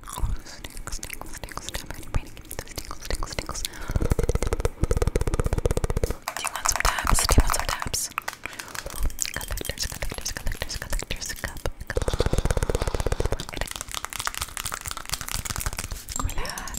Tingles, Do you want some tabs? Do you want some tabs? Collectors, collectors, collectors, collectors, cup, Relax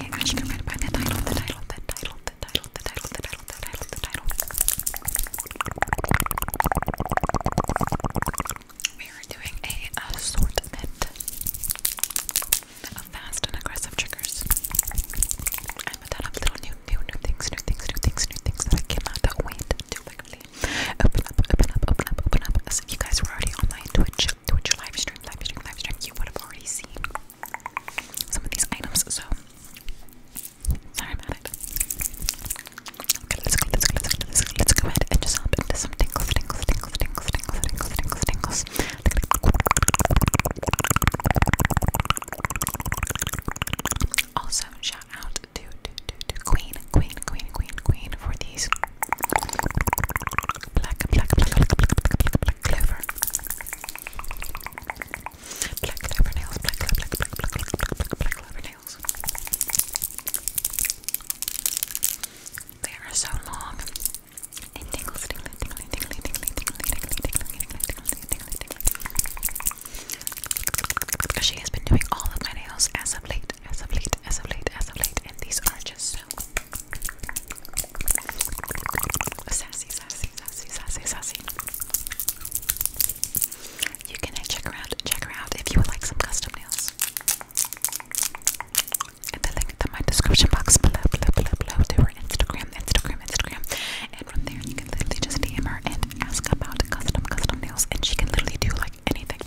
I should have read by the title, the title, We are doing a assortment of fast and aggressive triggers. I put that up little new, new, new things, new things, new things, new things I cannot wait to like open up, open up, open up, open up. you guys were already on my Twitch Twitch live stream, live stream, live stream, you would have already seen some of these items. So sorry about it. Also, shout out to, to, to, to Queen, Queen, Queen, Queen, Queen for these black clover. nails, black black, black, black, black, black, black, black clover nails. They are so long. And tingles, tingly, tingly, tingly, tingly, tingly, tingly, tingly, tingly, tingly, tingly. She has been doing all of my nails as of late, as of late, as of late, as of late, and these are just so sassy, sassy, sassy, sassy, sassy. You can check her out, check her out if you would like some custom nails. And the link is in my description box below, below, below, below to her Instagram, Instagram, Instagram. And from there, you can literally just DM her and ask about custom, custom nails, and she can literally do like anything.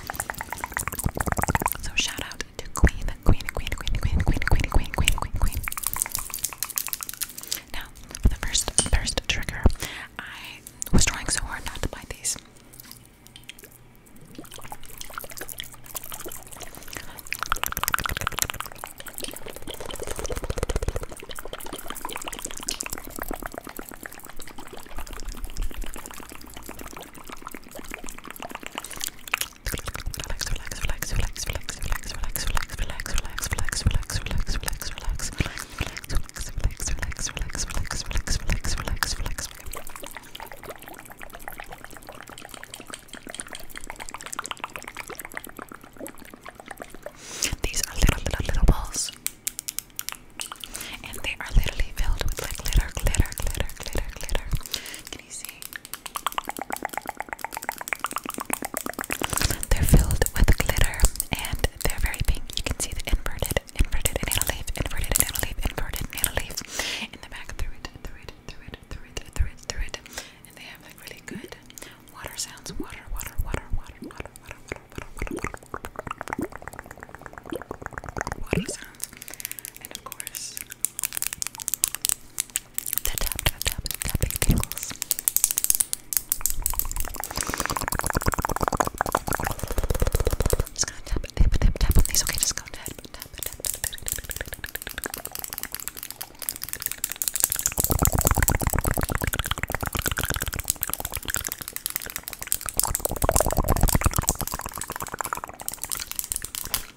So shout out out queen, queen, queen, queen, queen, queen, queen, queen, queen, queen, queen. Now, for the first, first trigger, I was trying so hard not to bite these relax, relax, relax, relax, relax, relax, relax, relax, relax, relax, relax, relax, relax, relax, relax, relax. Relax, relax, relax, relax, relax, relax, relax, relax, relax. These are little, little, little balls, and they are literally filled with like glitter, glitter, glitter, glitter, glitter. Can you see? They're filled with glitter and they're very pink. You can see the inverted, inverted banana leaf, inverted banana leaf, inverted banana leaf in the back through it, through it, through it, through it, through it, through it. And they have like really good water sounds. Water, water, water, water, water, water, water, water, water, water, water sounds. And of course, the tap tap tap tapping tingles. I'm just gonna tap tap tap tap on these. Okay, just go tap tap tap tap.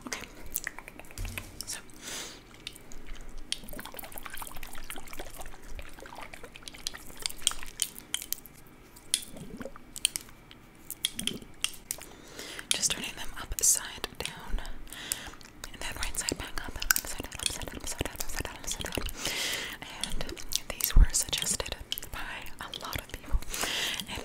Okay. So just turning them upside down and then right side back up, upside upside upside down, upside down, upside down. And these were suggested by a lot of people.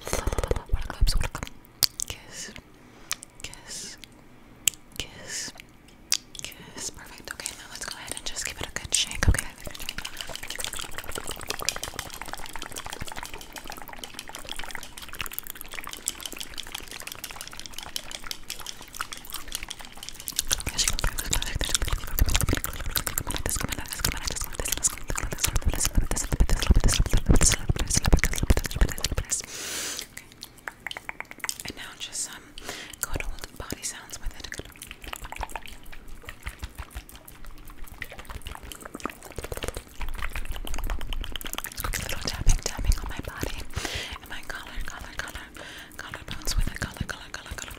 Waterclubs, waterclubs. Kiss, kiss, kiss, kiss. Perfect. Okay, now let's go ahead and just give it a good shake. Okay. This, this, Okay. And now just some good old body sounds with it. Quick little tapping, tapping on my body and my collar, collar, collar, collar bones with it, collar, collar, collar, collar.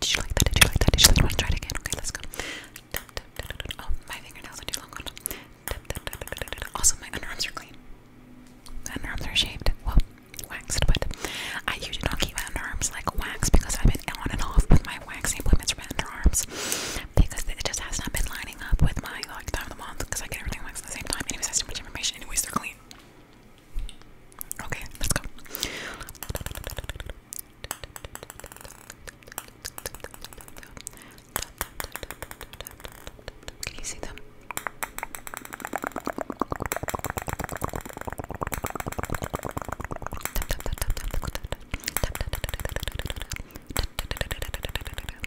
did you like that? Did you like that? Did you like that? try it again? Okay, let's go. Oh, my fingernails are too long. Also, my underarms are clean. underarms are shaved. Well, waxed, but I usually don't keep my underarms like waxed because I've been on and off with my waxing appointments for underarms because it just has not been lining up with my like time of the month because I get everything Anyways, that's too much information. Anyways, they're clean. Okay, let's go. Can you see them?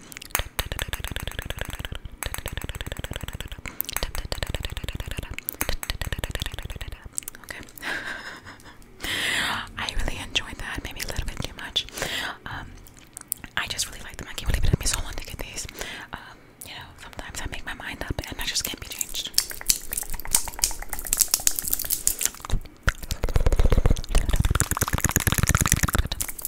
I really enjoyed that. Maybe a little bit too much. Um, I just really like them. I can't believe it took me so long to get these. Um, you know, sometimes I make my mind up and I just can't be changed.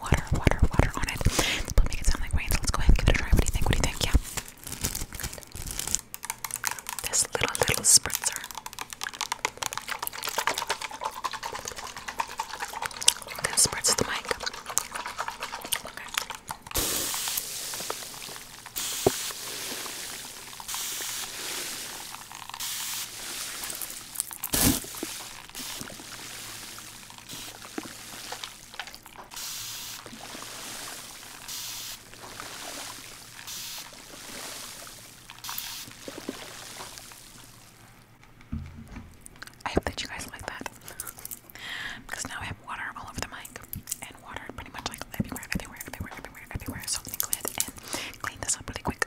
water, water, water on it. But make it sound like rain. let's go ahead and give it a try. What do you think? What do you think? Yeah. This little little spritzer. gonna spritz the mic. Okay. I hope that you guys like that. because now I have water all over the mic. And water pretty much like everywhere, everywhere, everywhere, everywhere, everywhere. So go ahead and clean this up really quick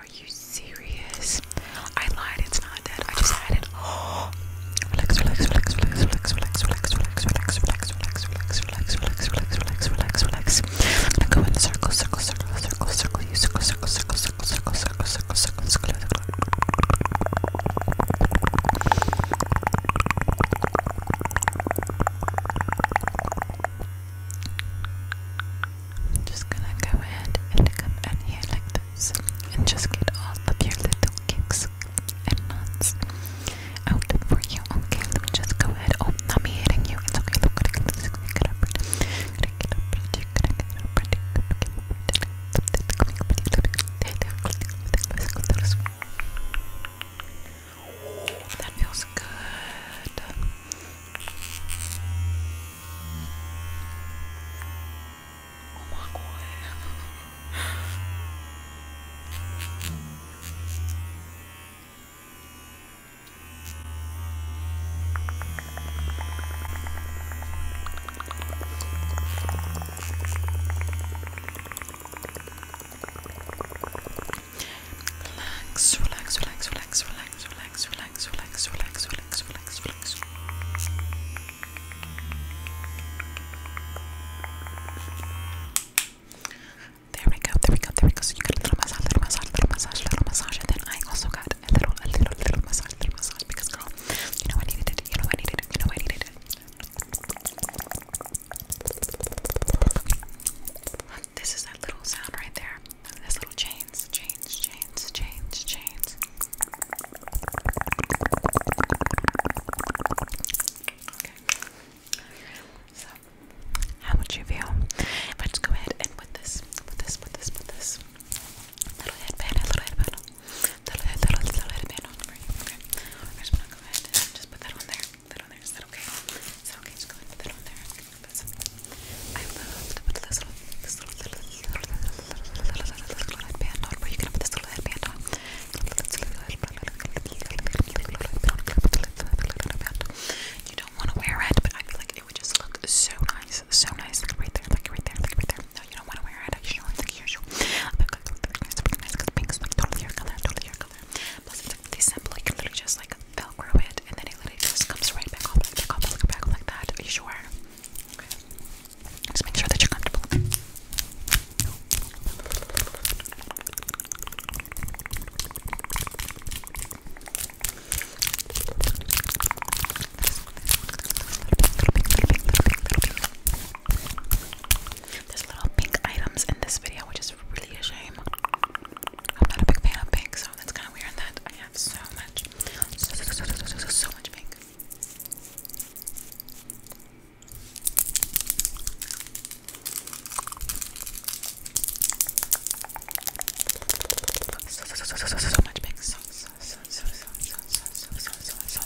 Are you serious? I lied, it's not dead. I just had it. Relax, relax, relax, relax, relax, relax, relax, relax, relax, relax, relax, relax, relax, relax, relax, relax, relax, Go in circle, circle, circle, circle, circle, you circle, circle, circle, circle, circle, circle, circle, I'm just gonna go ahead and come in here like and just get all of your little kicks and nuts out for you. Okay, let me just go ahead. Oh, not me hitting you. That feels good. Oh my god. Relax, relax, relax, relax, relax, relax, relax, relax, relax, relax, relax. There we go, there we go, there we go. So you got a little massage, little massage, little massage, little massage, and then I also got a little, a little, little massage, little massage because girl, you know I needed it, you know I needed it, you know I needed it. This is that little sound right there. This little chains, chains, chains, chains, chains. Okay. So, how would you feel? Let's go ahead and put this, put this, put this, put this little headband, little headband, little head, little, little headband on for you. Okay. I just want to go ahead and just put that on there. Put that on there. Is that okay? Is okay? Just go ahead and put that on there. I love to put this little, this this you don't want to wear it, but I feel like it would just look so nice, so nice, right there, like right there, like right there. No, you don't want to wear it, actually, like usual. But it's pretty nice because pink's like totally your color, totally your color. Plus, it's really simple, you can literally just like velcro it, and then it literally just comes right back off, like back off, like that. Are you sure? Just make sure that you're comfortable. There's little pink items in this video, which is really a shame. I'm not a big fan of pink, so that's kind of weird that I have so much, so, so, so much pink. So, so, so, so, so, so much big so, so, so, so, so, so, so, so, so, so, so, so,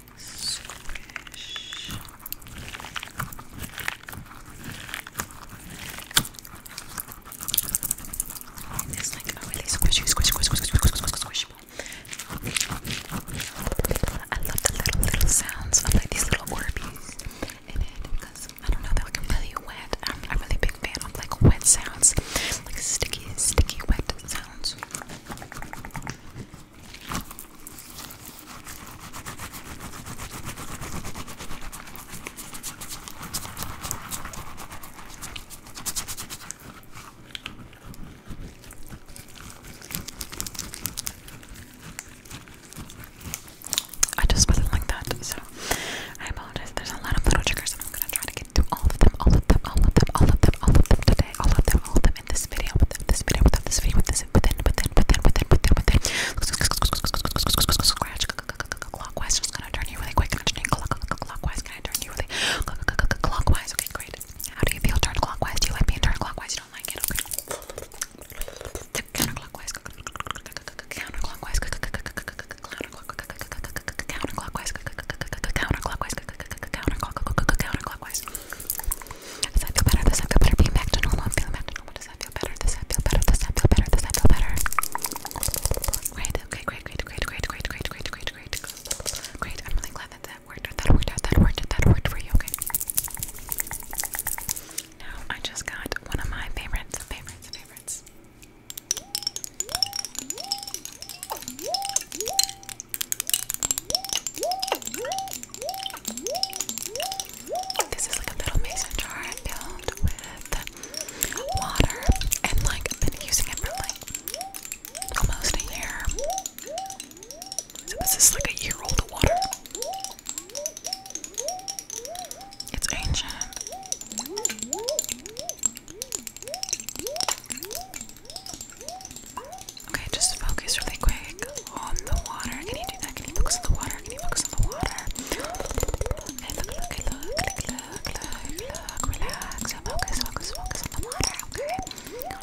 Squish. It's like a really squishy, squish, squish, squish, squish, squish, squish, squish. I love the little, little sounds of like these little Orbeez in it because I don't know, they're like really wet. I'm a really big fan of like wet sounds, like sticky, sticky, wet sounds. I just wasn't like that, so I apologize. There's a lot of little triggers, and I'm gonna try to get through all of them, all of them, all of them, all of them, all of them today, all of them, all of them in this video, with this video, with this video, with this video. With this clockwise, within, within, within, within, within, within. Clockwise, just gonna turn you really quick. Turn you clockwise, can I turn you really clockwise? Okay, great. How do you feel turned clockwise? Do you like being turned clockwise? You don't like it? Okay. Counterclockwise, counterclockwise, counterclockwise, counterclockwise, counterclockwise, counterclockwise. Does that feel better? Does that feel better? Being back to normal, I'm feeling back to normal. Does that feel better? Does that feel better? Does that feel better? Does that feel better? Great, okay, great, great, great, great, great, great, great, great, great. Great. I'm really glad that that worked out, that worked out, that worked out, that worked for you, okay? Now I just got one of my favorites, favorites, favorites. This is like a little mason jar filled with water, and like I've been using it for like almost a year. So this is like a year old water. It's ancient. Okay, just focus really quick on the water. Can you do that? Can you focus on the water? Can you focus on the water? Okay, look, look, look, look, look, look, look. Relax and focus, focus, focus on the water, okay? Great,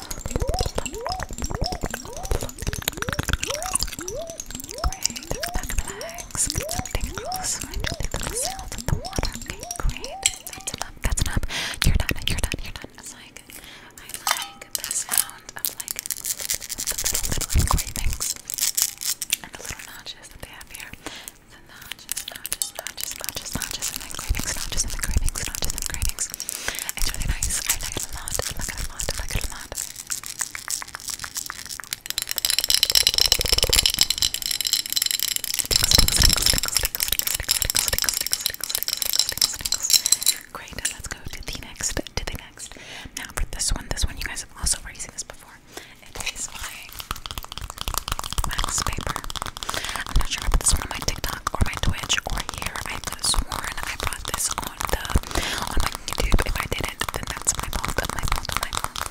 back relax. Something else. Right, the little sounds of the water. Okay, great. That's enough. That's enough. You're done. You're done. You're done. It's like I like the sound of like the little little cravings and the little notches that they have here. The notches, notches, notches, notches, notches, and then cravings, notches, and then cravings, notches, and cravings. It's really nice. I like it a lot. I like it a lot. I like it a lot. let's go to the next, to the next. Now for this one, this one you guys have also already seen this before. It is my wax paper. I'm not sure if I put this one on my TikTok or my Twitch or here. I could have sworn I brought this on the on my YouTube. If I didn't, then that's my fault. My fault. My fault.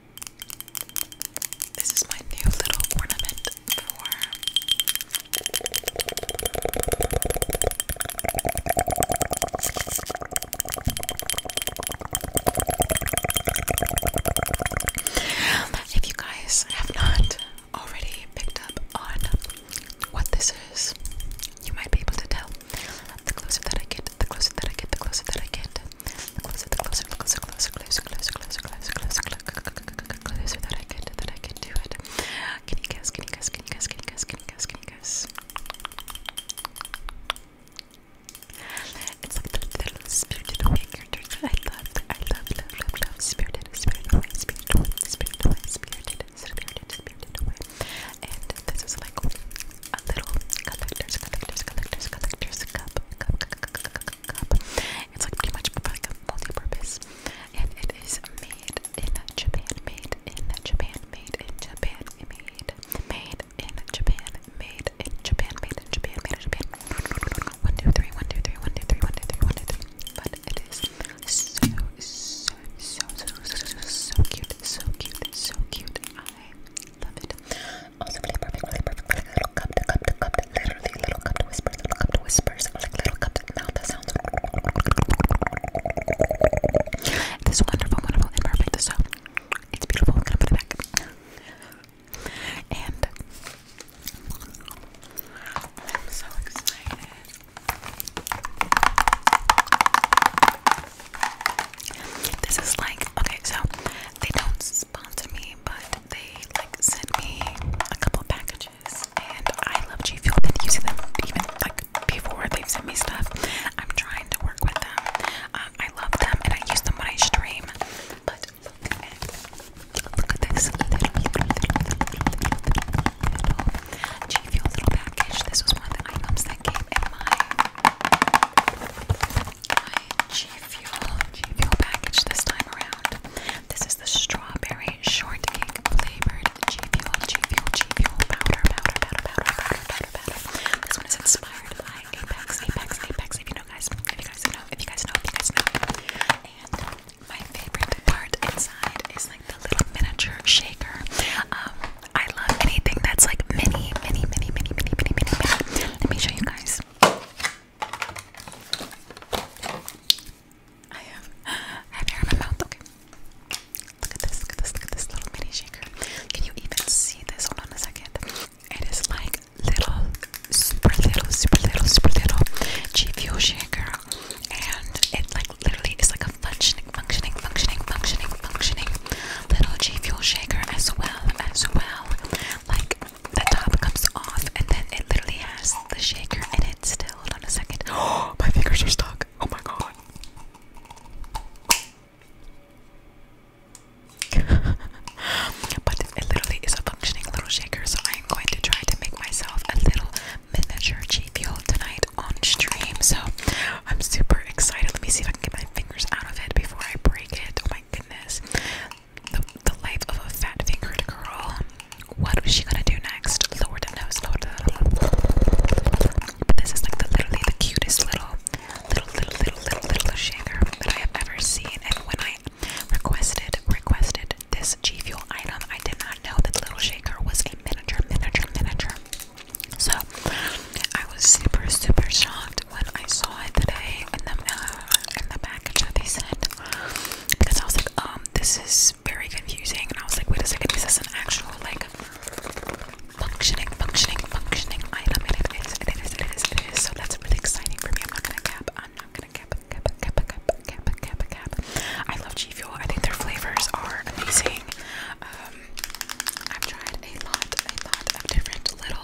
This is my new little ornament if you guys have not already picked up on what this is, you might be able to tell. The closer that I get, the closer that I get, the closer that I get. The closer, the closer, the closer, closer, closer, closer, closer, closer, closer, closer, closer that I get, that I can do it. Can you guess? Can you guess? Can you guess? Can you guess? Can you guess? Can you guess? It's like the little spirited away characters that I love. I love, love, love, love. Spirited, spirited away, spirited away, spirited away, spirited, spirited, spirited away. And this is like a little collector's, collector's, collector's, collector's cup, cup, cup, cup, cup, cup. It's like pretty much like a multi-purpose, and it is made in Japan, made in Japan, made in Japan, made, made in Japan, made in Japan, made in Japan, made in Japan. One, two, three, one, two, three, one, two, three, one, two, three, one, two, three. But it is so, so, so, so, so, so cute, so cute, so cute. I love it. Also really perfect, really perfect, like little cup to cup to cup to literally little cup to whispers, little cup to whispers, like little cup to mouth that sounds It is wonderful, wonderful, and perfect. So it's beautiful. I'm gonna put it back. And I'm so excited. This is like Okay, so they don't sponsor me, but they like sent me a couple packages, and I love G Fuel. Been using them even like before they sent me stuff. I'm trying to work with them. Um, I love them, and I use them when I stream. But look at look little, G Fuel little package. This was one of the items that came in my G Fuel, G Fuel package this time around. This is the strawberry shortcake flavored G Fuel, G Fuel, G Fuel powder, powder, powder, powder, powder, powder, powder. This one is inspired by Apex, Apex, Apex. If you know, guys, if you guys know, if you guys know, if you guys know. And my favorite part inside is like the little miniature shaker. Um, I love anything that's like mini, mini, mini, mini, mini, mini, mini, mini. Let me show you guys. I have uh, I have hair in my mouth, okay. Look at this, look at this, look at this little mini shaker. Can you even see this? Hold on a second. It is like little, super little, super little, super little G Fuel shaker. And it like literally is like a functioning, functioning, functioning, functioning, functioning little G Fuel shaker as well, as well. Like the top comes off and then it literally has the shaker and it still. Hold on a second. my fingers are stuck. Oh my god. but it literally is a functioning little shaker, so I am going to try to make myself a little miniature cheat fuel tonight on stream. So I'm super excited. Let me see if I can get my fingers out of it before I break it. Oh my goodness the, life of a fat fingered girl. What was she gonna do next? Lord knows, Lord. this is like the literally the cutest little, little, little, little, little, shaker that I have ever seen. And when I requested, requested this G Fuel item, I did not know that little shaker was a miniature, miniature, miniature. So I was super, super shocked when I saw it today in the uh, in the package they sent because I was like, um, this is very confusing, and I was like, wait a second, this is an actual like functioning, functioning, functioning item, and it is, it is, it is, it is. So that's really exciting for me. I'm not gonna cap. I'm not gonna cap. Cap. Cap. Cap. Cap. Cap. Cap. I love G Fuel. I think their flavors are amazing. Um, I've tried a lot, a lot of different little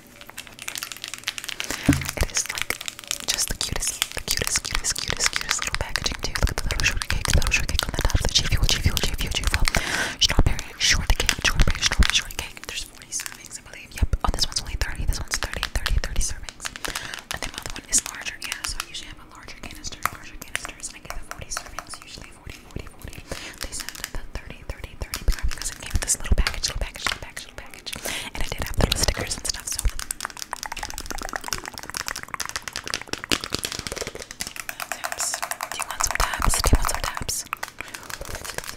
it is like just the cutest, the cutest, cutest, cutest, cutest little packaging too. Look at the little shortcake, the little shortcake on the top, the G-Fuel, G-Fuel, G-Fuel, G-Fuel, strawberry shortcake, strawberry, strawberry shortcake. There's 40 servings, I believe. Yep. Oh, this one's only 30. This one's 30, 30, 30 servings. And then my other one is larger. Yeah, so I usually have a larger canister, larger canisters. I get the 40 servings, usually 40, 40, 40. They sent the 30, 30, 30 because it came with this little package, little package, little package actual package. And I did have the little stickers and stuff, so. Taps. Do you want some taps? Do you want some taps?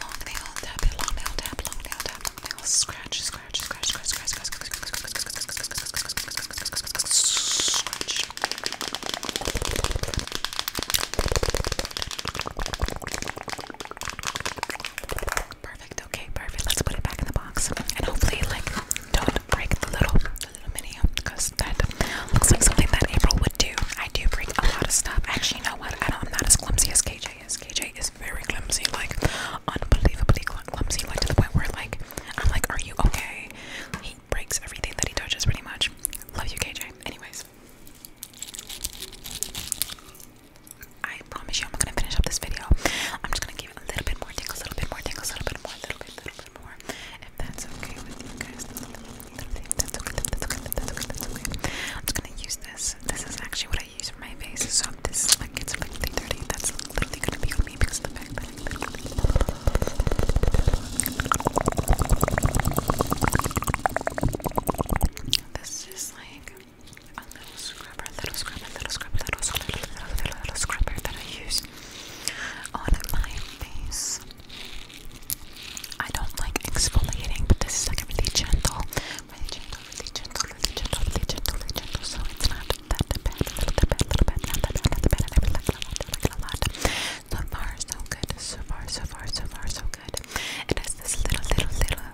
Long nail tap, long nail tap, long nail tap, long nail. Scratch, scratch, scratch, scratch, scratch, scratch, scratch, scratch, scratch, scratch, scratch, scratch, scratch, scratch, scratch, scratch, scratch, scratch, scratch, scratch. Perfect. Perfect. Okay, perfect. Let's put it back in the box, and hopefully, like, don't break the little, the little mini, because that looks like something that April would do. I do break a lot of stuff. Actually, you know what? I'm not as clumsy as KJ is. KJ is very clumsy, like unbelievably clumsy, like to the point where, like, I'm like, "Are you okay?" He breaks everything that he touches, pretty much. Love you, KJ. Anyways. I promise you, I'm gonna finish up this video. I'm just gonna give it a little bit more tingles, a little bit more tingles, a little bit more, a little bit, a little bit more. If that's okay with you guys, that's okay. That's okay. That's okay. That's okay. That's okay. I'm just gonna use this. This is actually what I use for my face. So if this is like it's like really dirty, that's literally gonna be on me because of the fact that I literally. This is like a little scrubber, little scrubber, little scrubber, little scrubber, little, little, little, scrubber that I use on my face. I don't like exfoliating, but this is like really gentle, really gentle, really gentle, really gentle, really gentle, So it's not that bad, little bit, a little bit, not that bad, not that bad. I really like it a lot, a lot. So far, so good. So far, so far, so far, so good. It this little, little, little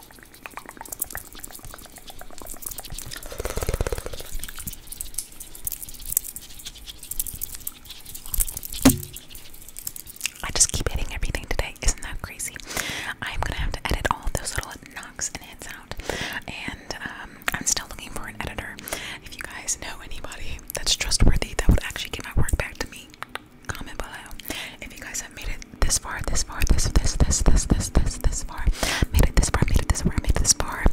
I just keep hitting everything today. Isn't that crazy? I'm gonna have to edit all those little knocks and hits out. And um, I'm still looking for an editor. If you guys know anybody that's trustworthy that would actually get my work back to me, comment below if you guys have made it this far, this far, this, this, this, this, this, this, far. Made it this far, made it this far, made this far.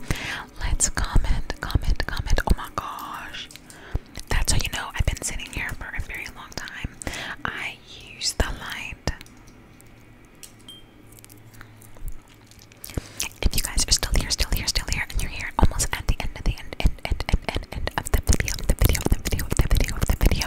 Let's comment, comment, comment. Oh my gosh. That's how you know I've been sitting here for a very long time. I use the light. If you guys are still here, still here, still here, and you're here almost at the end, of the end, end, end, end, and end of the video, the video, the video, the video, the video.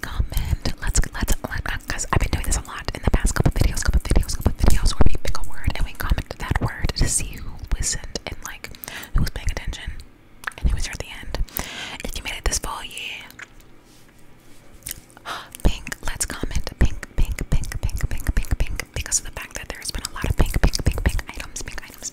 Comment. Let's let's because I've been doing this a lot in the past couple videos, couple videos, couple videos where we pick a word and we comment that word to see who listened and like who was paying attention and who was here at the end. If you made it this far, yeah. Pink, let's comment pink, pink, pink, pink, pink, pink, pink, because of the fact that there has been a lot of pink, pink, pink, pink items, pink items,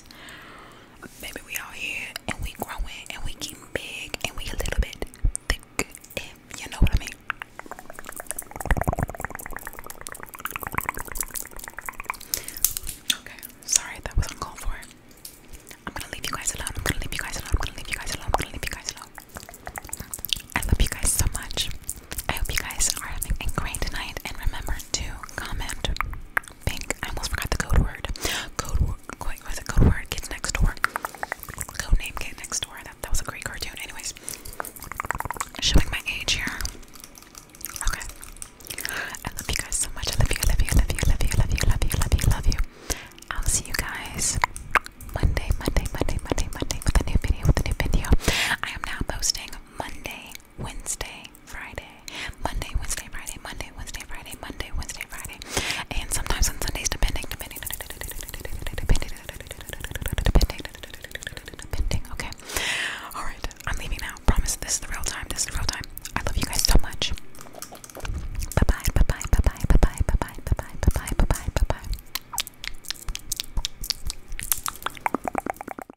us. we out here and we growing and we getting big and we a little bit thick. If you know what I mean. Okay, sorry that was uncalled for. I'm gonna leave you guys alone. I'm gonna leave you guys alone. I'm gonna leave you guys alone. I'm gonna leave you guys alone. I love you guys so much. I hope you guys are having a great night and remember to comment. Pink. I almost forgot the code word. Code word. Wait, was it code word? Kids next door. Code name Kids next door. That was a great cartoon. Anyways, showing my age here. Okay. I love you guys so much. I love you. I love you. I love you. I love you. I love you. I love you. I love you. I love you. I'll see you guys Monday, Monday, Monday, Monday, Monday with a new video. With a new video. I am now posting Monday Wednesday, Friday, Monday, Wednesday, Friday, Monday, Wednesday, Friday, Monday, Wednesday, Friday, and sometimes on Sundays, depending, depending, depending, depending, depending. Okay. All right. I'm leaving now. Promise. This is the real time. This is real time. I love you guys so much. Bye bye. Bye bye. Bye bye. Bye bye. Bye bye. Bye bye. Bye bye. Bye bye. Bye bye.